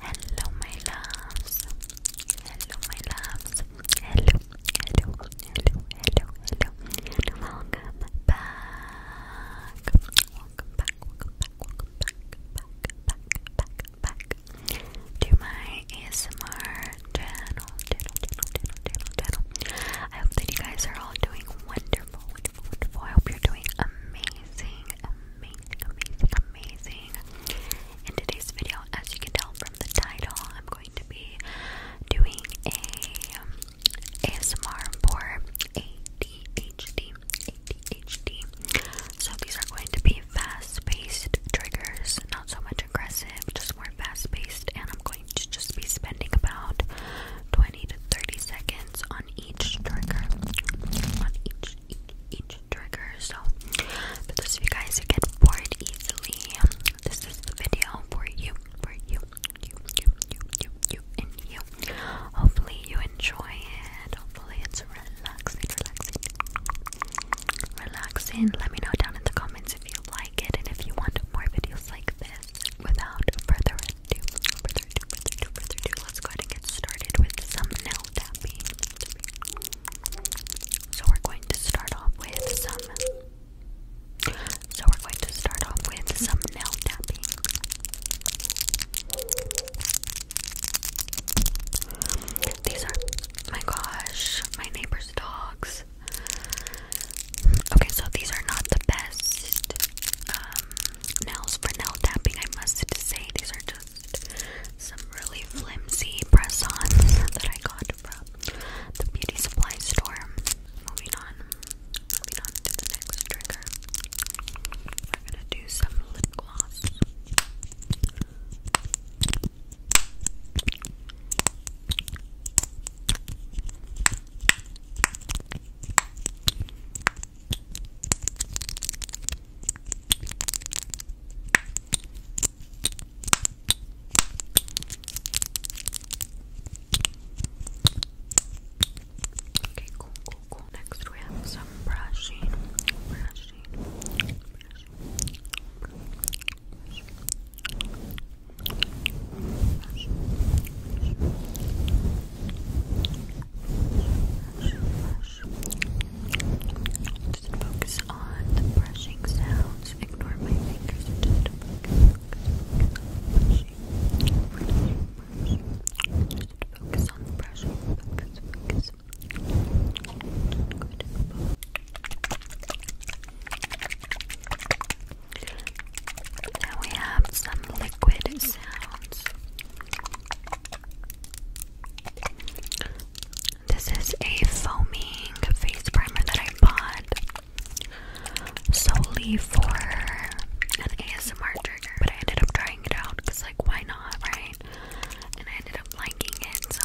Hello, my loves. Hello, my loves. Hello, hello, hello, hello, hello. And welcome back. Welcome back, welcome back, welcome back, back, back, back, back to my ASMR channel, channel, channel, channel, channel, I hope that you guys are all doing wonderful, wonderful. I hope you're doing amazing, amazing, amazing, amazing. In today's video, as you can tell from the title, I'm going to be doing a um, ASMR for ADHD. ADHD. So these are going to be fast-paced triggers, not so much aggressive, just more fast-paced, and I'm going to just be spending about 20 to 30 seconds on each trigger. On each, each, trigger. So, for those of you guys who get bored easily, this is the video for you, for you, you, you, you, you, you, and you. Hopefully, you enjoy it. Hopefully, it's relaxing, relaxing, relaxing. Let me know down in the comments if you like it and if you want more videos like this without further ado, let's go ahead and get started with some nail tapping. So we're going to start off with some. So we're going to start off with some nail tapping. These are, my gosh, my neighbor's dogs. Okay, so these are not the best um, nails for nail tapping, I must say. These are just some really flimsy press ons that I got from the beauty supply store. Moving on, moving on to the next trigger. We're gonna do some lip gloss. Okay, cool, cool, cool. Next we have some brushing, brushing, just focus on the brushing sounds. Ignore my fingers and just focus, focus, focus, brushing, brushing, brushing. Just focus on the brushing. Focus, focus. Good. And we have some liquid sounds. This is a foaming face primer that I bought solely for an ASMR trigger, but I ended up trying it out because, like, why not, right? And I ended up liking it, so.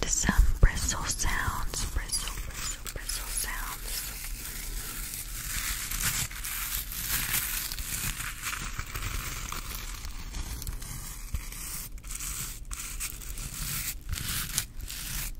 And some bristle sounds, bristle, bristle, bristle sounds.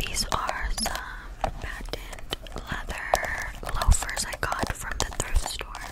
These are some patent leather loafers I got from the thrift store.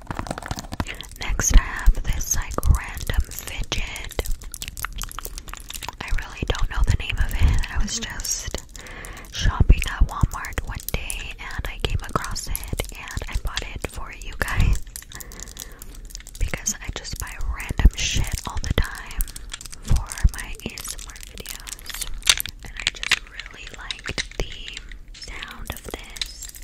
Next, I have this like random fidget. I really don't know the name of it. I was just shopping at Walmart one day and I came across it and I bought it for you guys because I just buy random shit all the time for my ASMR videos and I just really liked the sound of this.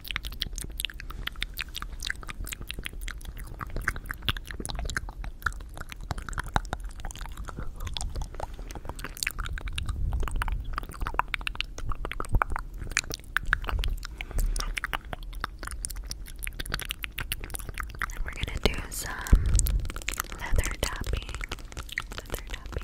we're gonna do some leather tapping. Leather tapping.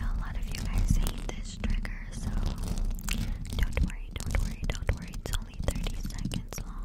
A lot of you guys hate this trigger, so don't worry, don't worry, don't worry. It's only 30 seconds long.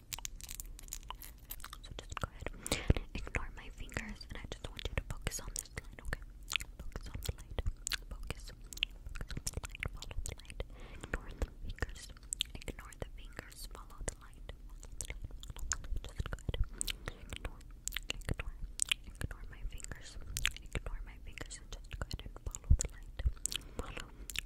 So just go ahead ignore my fingers, and I just want you to focus on this line, okay? Focus on the light. Focus. Focus the light. Follow the light. Ignore the fingers. Ignore the fingers. Follow the light. Just go ahead. Ignore. Ignore. Ignore my fingers. Ignore my fingers just go ahead and follow the light.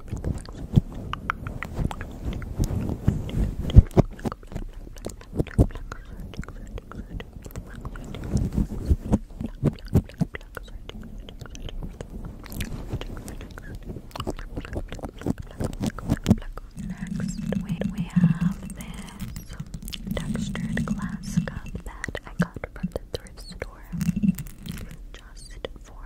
Next, we, have this textured glass cup that I got from the thrift store just for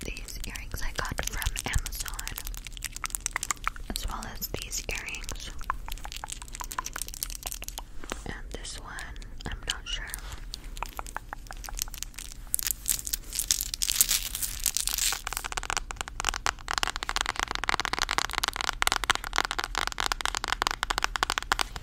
These earrings I got from Amazon, as well as these earrings. And this one, I'm not sure.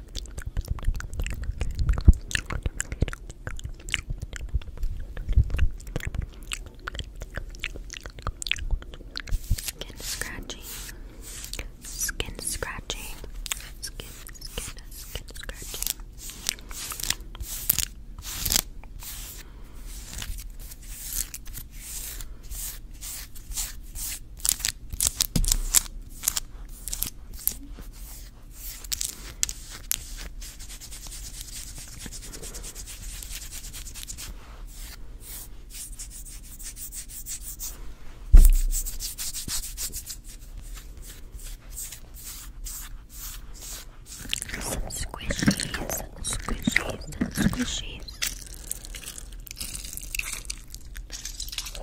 Skin scratching, skin scratching, skin, skin, skin scratching. Some squishies, squishies, squishies.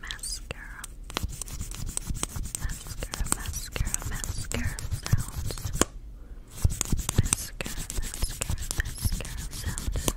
Mascara. Mascara, mascara, mascara sounds. Mascara, mascara, mascara sounds. Mascara, mascara, mascara, mascara,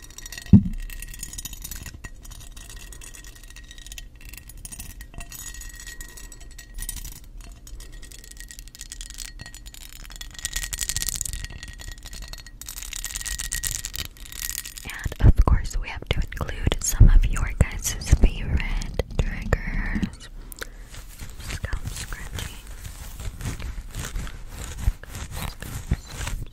And of course, we have to include some of your guys' favorite triggers. Scalp scratching.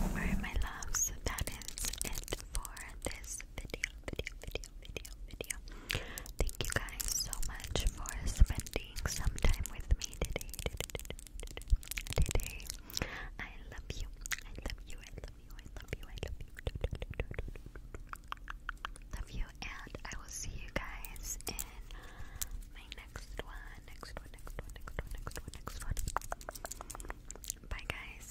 Alright, my loves, that is it for this video, video, video, video, video. Thank you guys so much for spending some time with me today. Today, I love you. I love you. I love you. I love you. I love you. Love you, and I will see you guys in my next one. Next one. Next one. Next one. Next one. Next one. Bye, guys.